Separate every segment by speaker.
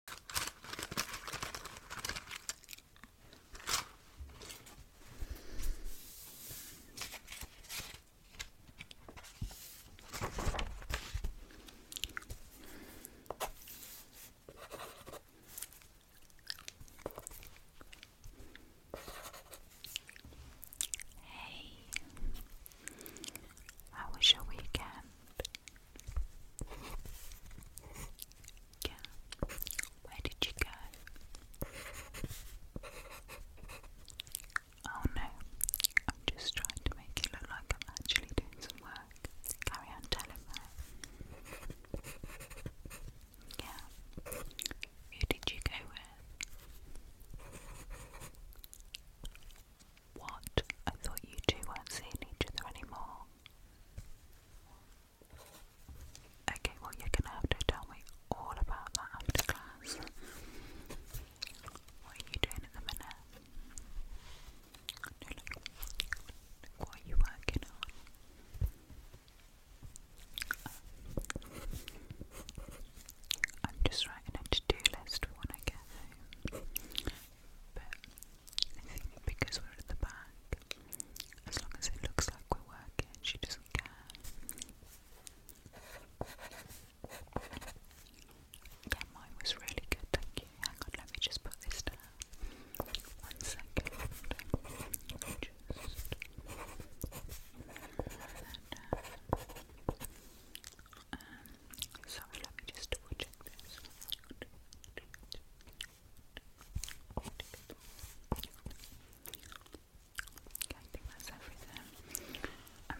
Speaker 1: Hey, how was your weekend? Yeah. Where did you go? Oh no. I'm just trying to make it look like I'm actually doing some work. Carry on telling me. Yeah. Who did you go with? What? I thought you two weren't seeing each other anymore. Okay, well, you're gonna have to tell me all about that after class. What are you doing at the minute? what are you working on? I'm just writing a to do list when I get home. But because we're at the back, as long as it looks like we're working, she doesn't care. Yeah, mine was really good, thank you. Hang on, let me just put this down. One second. Just. Uh, um, let me just double check Okay, I think that's everything. Um,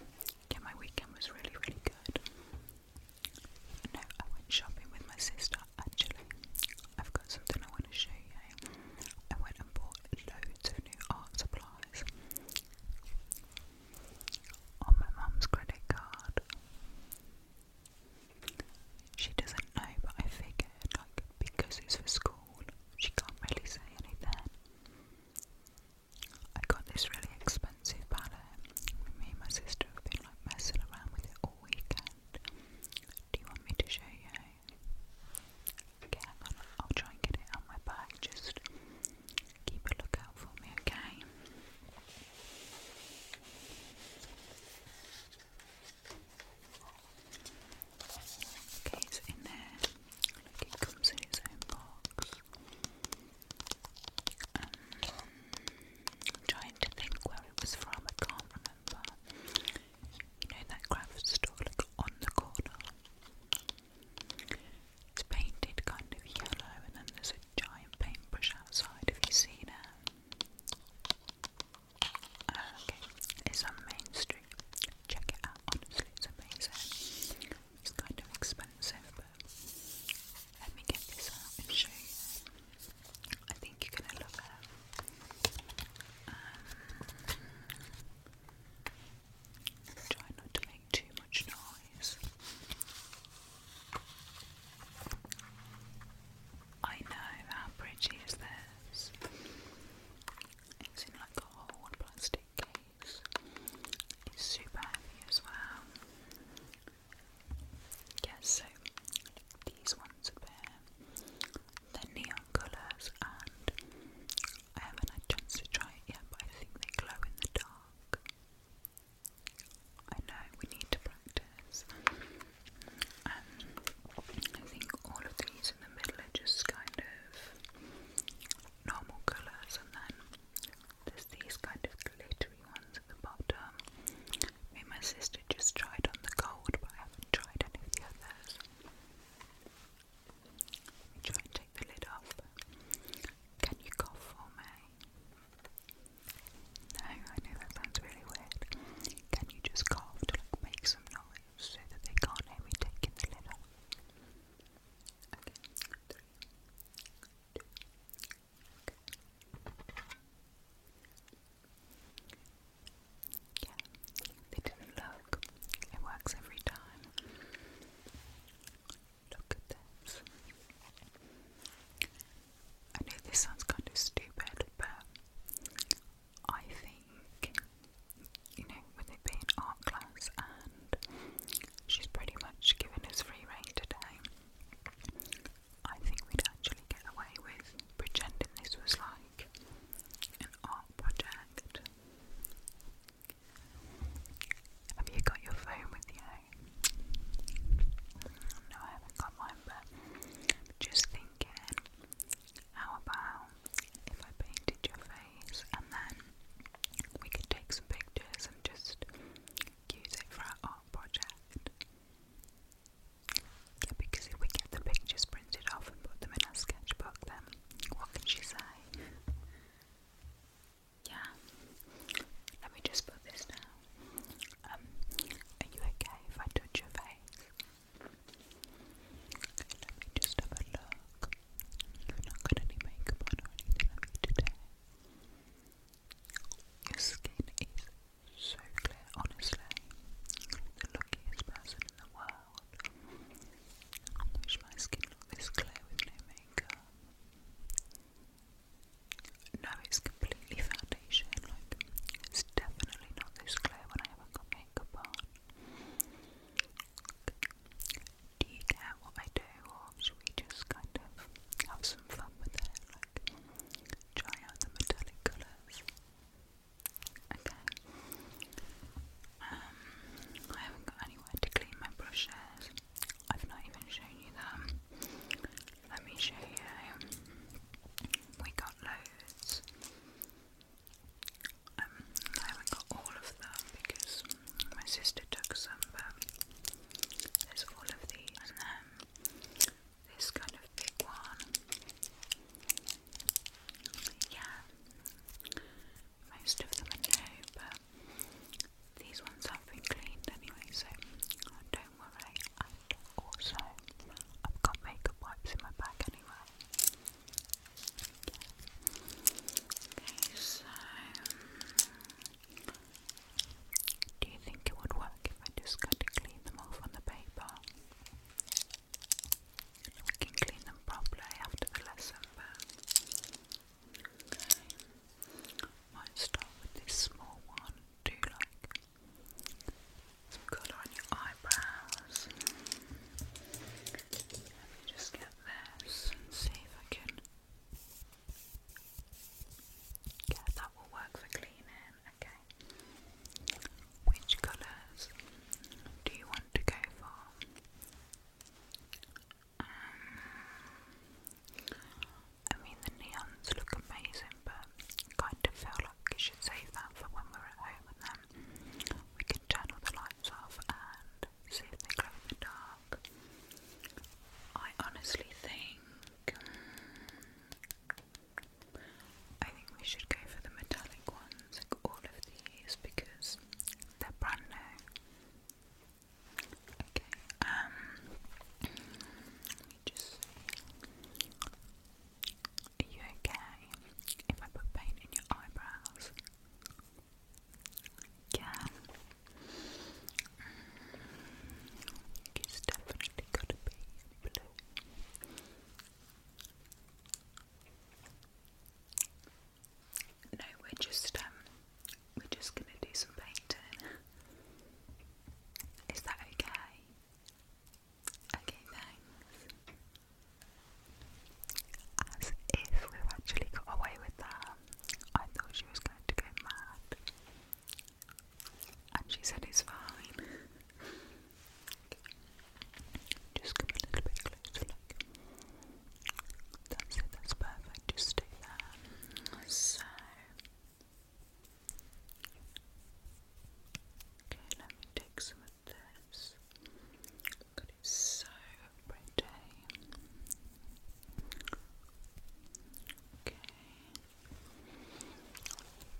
Speaker 1: yeah, my weekend was really, really good. No, I went shopping with my sister actually. I've got something I want to show you. I went and bought loads of new art supplies on my mum's credit card. She doesn't know, but I figured, like, because it's for school, she can't really say anything. I got this really expensive palette. Me and my sister have been, like, messing around with it all weekend. Do you want me to show you? Okay, I'll try and get it on my bag. Just keep a lookout for me, okay? Okay, so in there, it comes in its own box. Um, trying to think where it was from, I can't remember. You know that craft store, look, on the corner. It's painted kind of yellow, and then there's a giant paintbrush fish outside. Have you seen it? Oh, okay, it's on Main Street. Check it out. Honestly, it's amazing. It's kind of expensive, but let me get this out and show you. I think you're gonna love it. Um, Try not to make too much noise. I know how pretty is this. It's in like a whole plastic case. It's super heavy as well. Yes, so these ones appear. They're neon colours and I haven't had a chance to try it yet, but I think they glow in the dark. I know we need to practice. Um, I think all of these in the middle are just kind of normal colours, and then there's these kind of glittery ones at the bottom. I mean, my sister just tried on the gold, but I haven't tried any of the others. try and take the lid off. Can you cough for me? No, I know that sounds really weird. Can you just cough to make some noise so that they can't hear me the lid off? Yeah, they didn't look. It works every time. Look at this. I know this sounds kind of stupid, but I think, you know, with it being art class and she's pretty much given us free reign today, I think we'd actually get away with pretending this was like an art project. Have you got your phone with you? No, I haven't got one, but just thinking, how about if I painted your face and then we could take some pictures and just use it for our art project? Yeah, because if we get the pictures printed off and put them in our sketchbook, then what can she say? Yeah. Let me just put this down. Um, are you okay if I touch your face? let me just have a look. You've not got any makeup on or anything today. Your skin is so clear, honestly. The luckiest person in the world. I wish my skin looked clear with no makeup. No, it's completely foundation. Like, it's definitely not this clear when I have a makeup on. Do you care what I do, or should we just kind of have some fun with it? Like, try out the metallic colours. Okay. Um, I haven't got anywhere to clean my brushes. I've not even shown you that. Let me show you. We got loads. Um, I haven't got all of them because my sister took some, but there's all of these. And then this kind of big one. Yeah, most of them are but these ones have been cleaned anyway, so don't worry. And also, I've got makeup wipes in my bag anyway. Okay, so do you think it would work if I just got to clean them off on the paper? We can clean them properly after the lesson, but might start with this small one. Do like some colour on your eyebrows. Let me just get this and see if I can. Yeah, that will work for cleaning. Okay. Which colours do you want to go for? Um, I mean, the neons look amazing, but kind of feel like we should save that for when we're at home and then we can turn all the lights off and see if they glow in the dark. I honestly think. Mm, I think we should go for the metallic ones, like all of these, because they're brand new. Okay, um, let me just see. Are you okay if I put paint in your eyebrows? Yeah. Mm, it's definitely gotta be blue. No, we're just um, we're just gonna do some painting. Is that okay? Okay, thanks. As if we've actually got away with that. I thought she was going to go mad. And she said it's fine. Just a little bit that's it, that's perfect. Just stay there. So. Okay, let me take some of this. it's so pretty. Okay.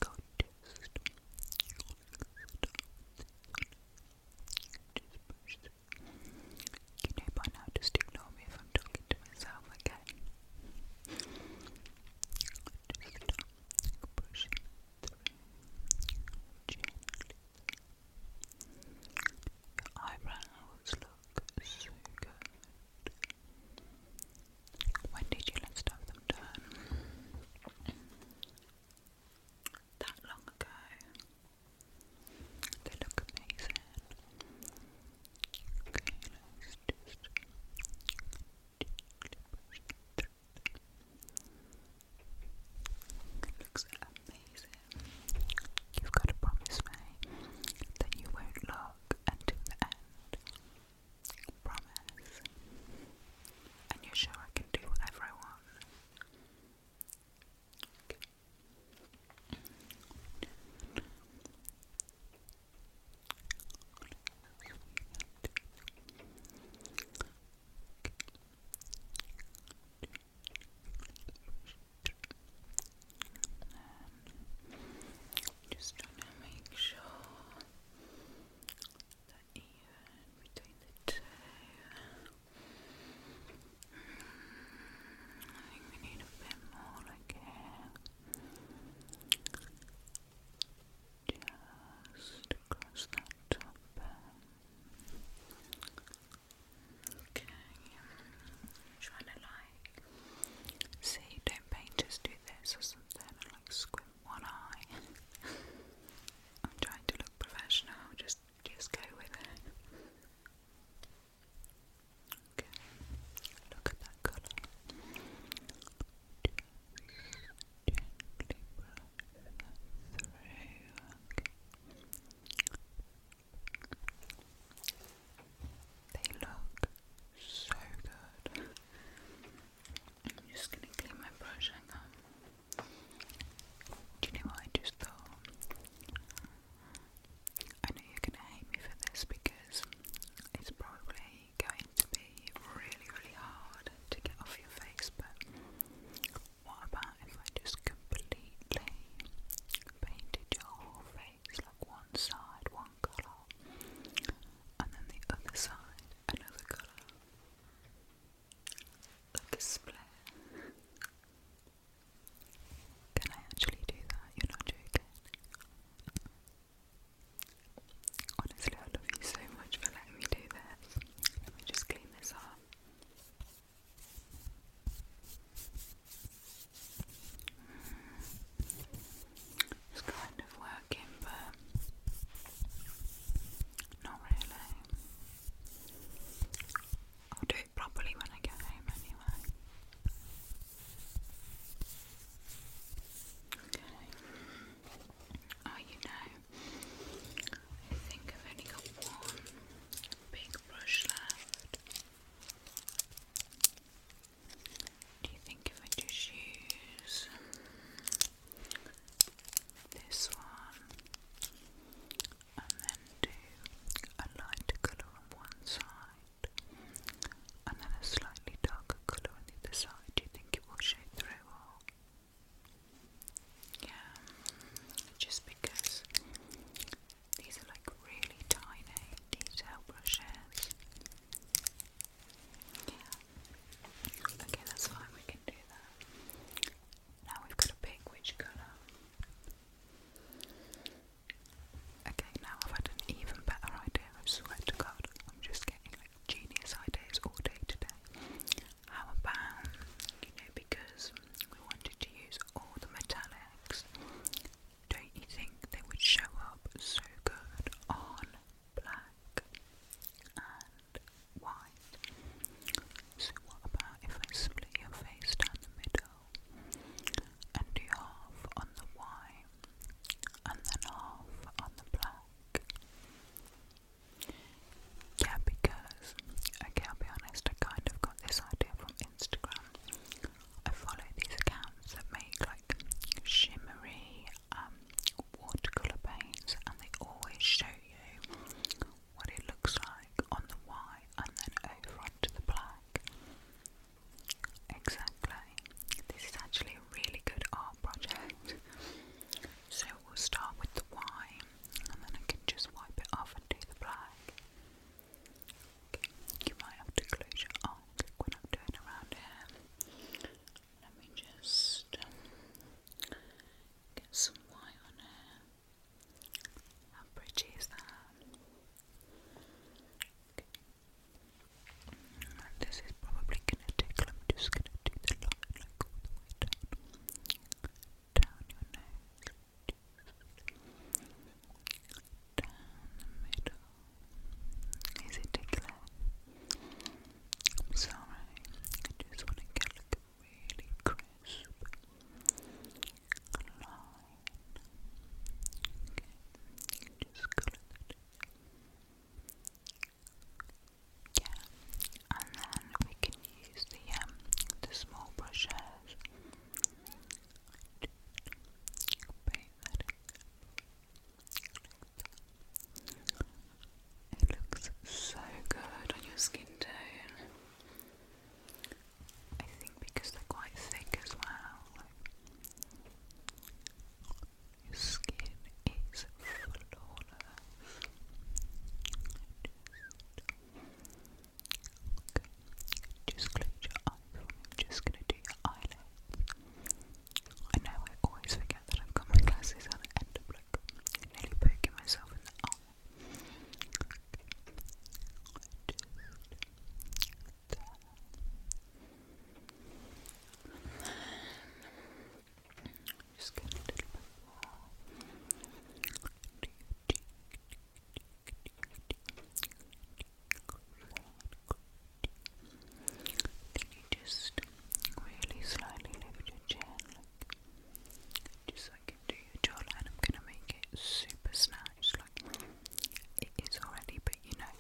Speaker 1: Go just, you by now, just ignore me if I'm talking to myself again. Just gently. Your eyebrows look so good. When did you last have them done? That long ago. They look amazing. looks amazing. You've got to promise me that you won't look until the end. Promise. And you're sure I can do whatever I want just trying to make sure that even between the two. I think we need a bit more like Just across that top Okay. I'm trying see, don't painters do this or something like squint one eye. I'm trying to look professional, just just go with it. Okay, look at that color. Gently brush through. They look so good. I'm just gonna clean my brush, Do you know what I just thought? I know you're gonna hate me for this because it's probably going to be really, really hard to get off your face, but what about if I just completely painted your face like one side, one colour, and then the other side, another colour? Like a split. Can I actually do that? You're not joking. Honestly, I love you so much for letting me do this. Let me just clean this up. Mm. It's kind of working, but not really. i properly when I get home, anyway. Oh, you know, I think I've only got one big brush left. Do you think if I just use this one and then do a lighter colour on one side and then a slightly darker colour on the other side. you think it through Yeah, just because these are like really tiny detail brushes. Yeah. Okay, that's fine, we can do that. Now we've got to pick colour. Okay, now I've had an even better idea. I swear to God, I'm just getting like genius ideas all day today. How about, you know, because we wanted to use all the metallics, don't you think they would show up so good on black and white? So, what about if I split your face down the middle and half on the white, and then half on the black. Yeah, because, okay, I'll be honest, I kind of got this idea from Instagram. I follow these accounts that make like shimmery um, watercolour paints, and they always show you what it looks like on the Y and then over onto the black. Exactly. This is actually a really good art project. So we'll start with the Y and then I can just wipe it off and do the black. You might have to close your eye when I'm doing around here. Let me just get some Y on here and purchase them. this is probably gonna take. I'm just gonna do the line like all the way down, down your nose, down the middle. Is it tickler? I'm sorry. I just wanna get like really crisp. Okay, just and then we can use the the small brushes. It looks so good on your skin tone. I think because they're quite thick as well. Your skin is flawless. Just, just close your eye just gonna do your eyelids. I know I always forget that I've got my glasses on and end up like nearly poking myself in the eye. Just get Then just really slowly lift your chin, just like into your jawline. I'm gonna make it super snatched, it is already, but you know.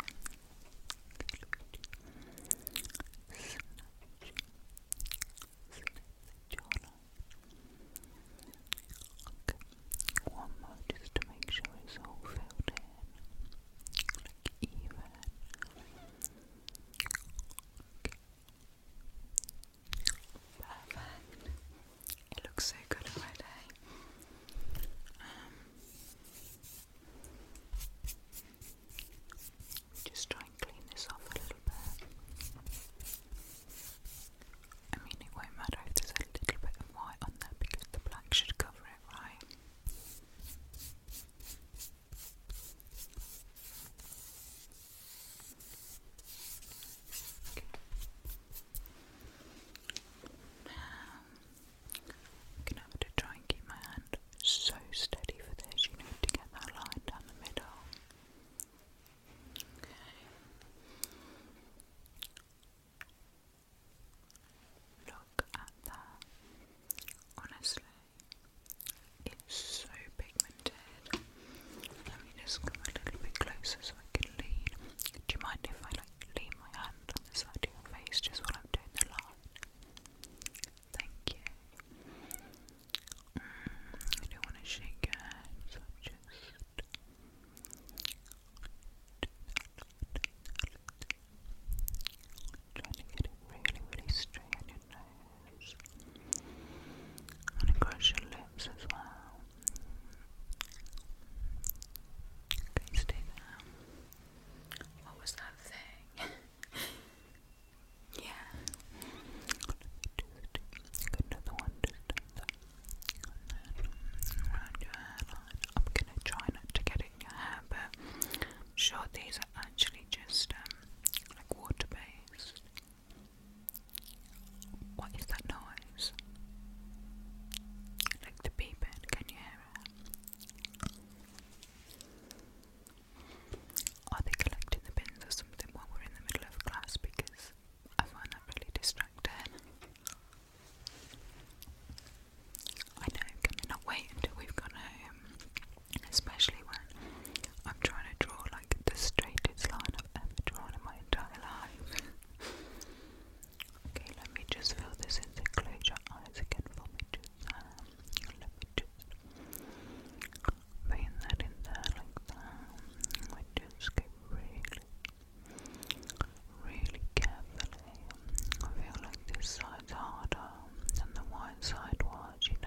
Speaker 1: One more just to make sure it's all filled in, like even. Perfect. It looks so good already. Um, just try and clean this off a little bit. I mean, it won't matter if there's a little bit of white on there because the black should cover it, right? I'm going to have to try and keep my hand so steady for this, you know, to get that line down the middle. Look at that. Honestly, it's so pigmented. Let me just come a little bit closer so I can lean. Do you mind if I like lean my hand on the side of your face just while I'm doing the line? Thank you. Mm, I don't want to shake your so just. trying to get it really, really straight on your nose. And across your lips as well. Okay, What was that thing? yeah. Just get one, just I'm gonna try not to get it in your hair, but sure these are actually just um, like water based. What is that noise? Like the beeping, can you hear it? Are they collecting the bins or something while we're in the middle of class? Because I find that really distracting. I know, can they not wait until we've gone home? Especially when I'm trying to draw like the straightest line I've ever drawn in my entire life. okay, let me just fill this in. close your eyes again for me. Just um, let me just bring that in there like that. We just go really, really carefully. I feel like this side's harder than the white side was, you know.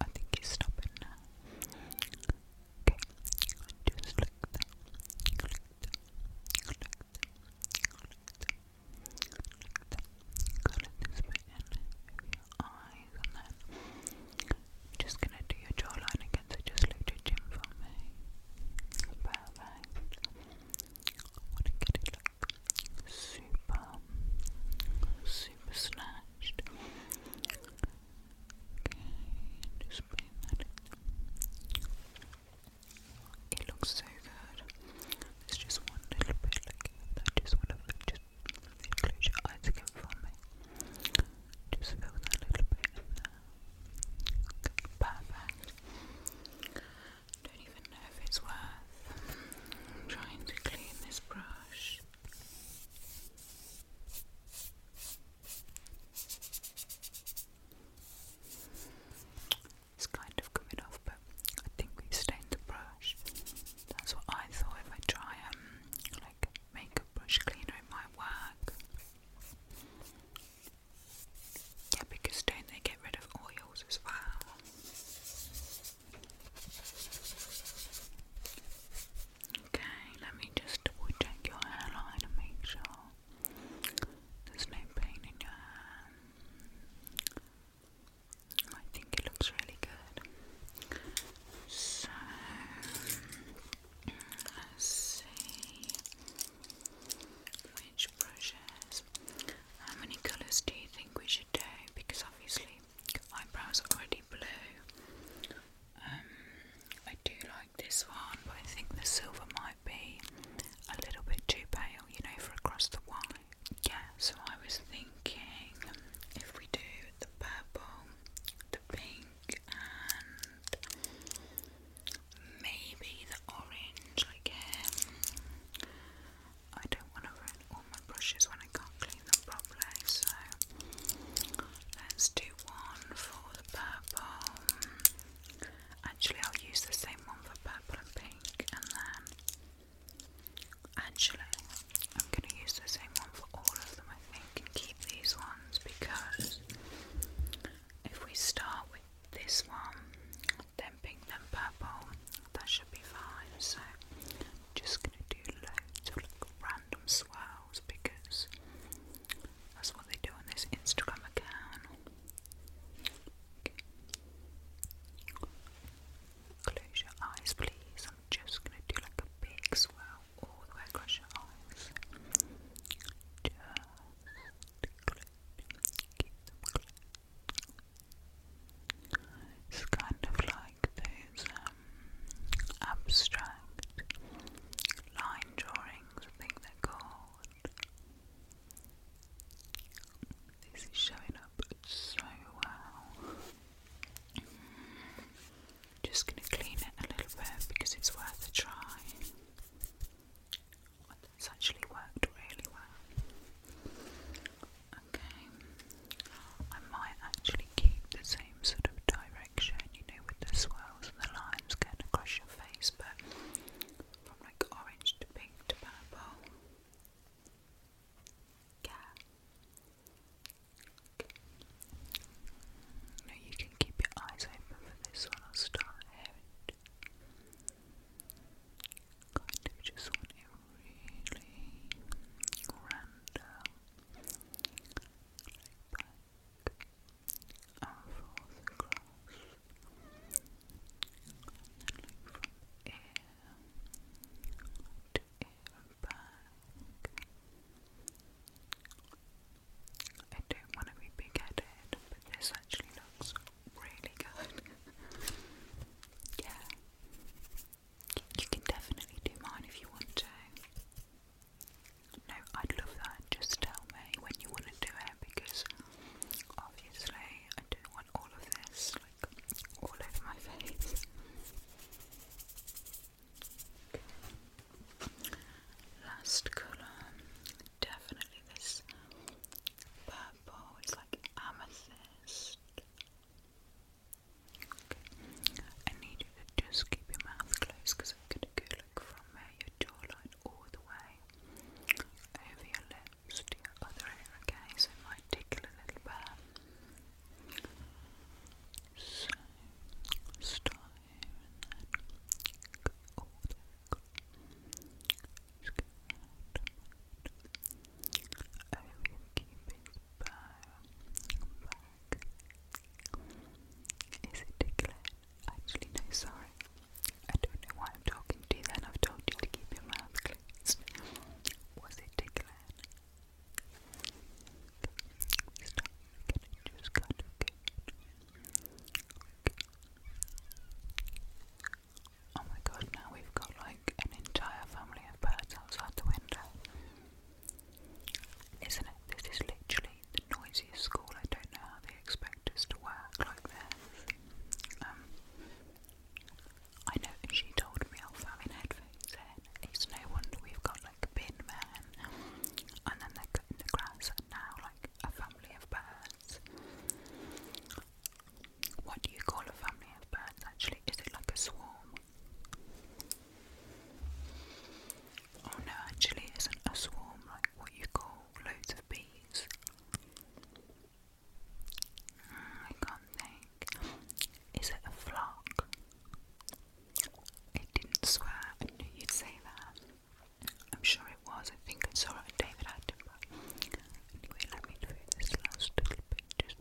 Speaker 1: I think he's stopping now. Okay, just like that, like that, like that, like that, this bit in your eyes, and then just gonna do your jawline again. So just look to Jim for me. Perfect. I want to get it like super, super snatched. Okay, just paint that It looks so good. It's just one little bit like that. Just want just close your eyes for me. Just fill little bit perfect. Don't even know if it's worth trying to clean this brush. It's kind of coming off, but I think we stained the brush. That's what I thought if I try um like makeup brush cleaner it might work. Yeah, because do they get rid of oils as well? Okay, let me just double check your hairline to make sure there's no pain in your hair. I think it looks really good. So, let's see which brushes. How many colours do you think we should do? Because obviously eyebrows already blue. Um, I do like this one, but I think the silver might be a little bit too pale, you know, for across the white. Yeah, so I was thinking if we do the purple, the pink, and maybe the orange, like I don't want to ruin my brushes when I can't clean them properly. So let's do one for the purple. Actually, I'll use the same one for purple and pink, and then actually, I'm going to use the same one for all of them, I think, and keep these ones because if we start with this one, then pink, then purple, that should be fine. So just gonna do loads of like random swells because that's what they do on this Instagram account. Close your eyes, please. I'm just gonna do like a big swell. all the way across your eyes. It's kind of like those um, abstract line drawings, I think they're called. This is showing up so well. Just going to clean it a little bit because it's worth a try. It's actually worked really well. Okay. I might actually keep the same sort of direction, you know, with the swirls and the lines going across your face, but from like orange to pink to purple. Yeah. No, you can keep your eyes open for this one. I'll start here kind of just want it really random, back and forth across, and then from ear to ear back. I don't want to be big-headed, but this actually looks really good. yeah, you can definitely do mine if you want to. No, I'd love that. Just tell me when you want to do it because obviously I don't want all of this like all over my face. Last colour, definitely this purple. It's like amethyst. I need you to just keep your mouth closed because I'm going to go look from your jawline all the way over your lips to your other ear, So it might tickle a little bit. So, and then go all the way I will keep it back. Is it declared? Actually, no, sorry. I don't know why I'm talking to you then. I've told you to keep your mouth closed. Was it declared? This time I just kind of get Oh my god, now we've got like an entire family of birds outside the window. Isn't it? This is literally the noisiest school. I don't know how they expect us to work like this. Um, I know she told me off having headphones in. It's no wonder we've got like a bin man. And then they're cutting the grass and now like a family of birds. What do you call a family of birds actually? Is it like a swarm? Oh no, actually, isn't a swarm like what you call loads of bees? Mm, I can't think. Is it a flock? I didn't swear, I knew you'd say that. I'm sure it was, I think I saw it at David Attenborough. Anyway, let me do this last little bit just.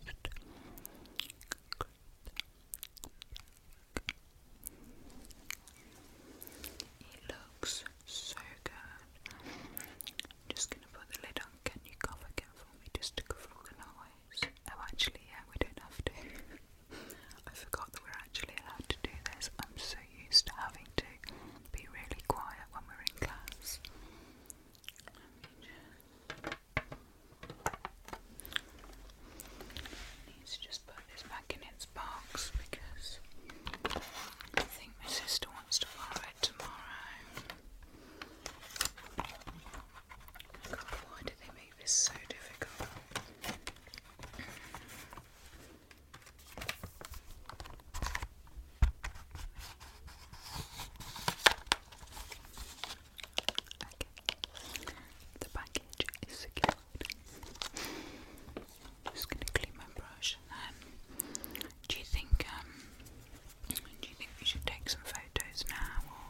Speaker 1: It looks so good. just gonna put the lid on. Can you cover again for me just to cover all the noise? Oh, actually, yeah, we not have to. I forgot we're actually allowed to do this. I'm so used to having to be really quiet when we're in class. Need to just put this back in its box because I think my sister wants to borrow it tomorrow. why do they make this so difficult? The package is secured. I'm just gonna clean my brush and do you think um, do you think we should take some photos now or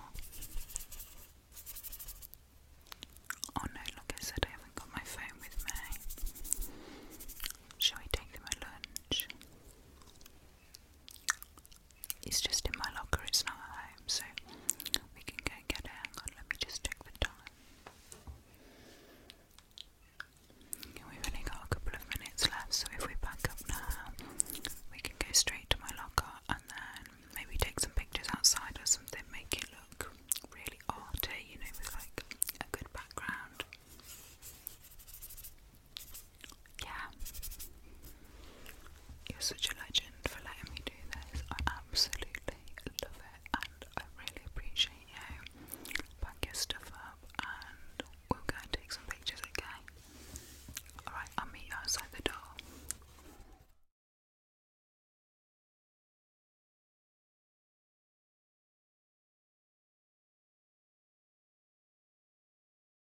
Speaker 1: Oh no, like I said I haven't got my phone with me. Shall we take them at lunch? It's just in my locker, it's not at home, so we can go get it. let me just check the time. We've only got a couple of minutes left, so if we back up now, we can go straight to my locker and then maybe take some pictures outside or something, make it look really arty, you know, with like a good background. Yeah. You're such a legend for letting me do this. I absolutely love it and I really appreciate you. Pack your stuff up and we'll go and take some pictures, okay? Alright, I'll meet you outside the door.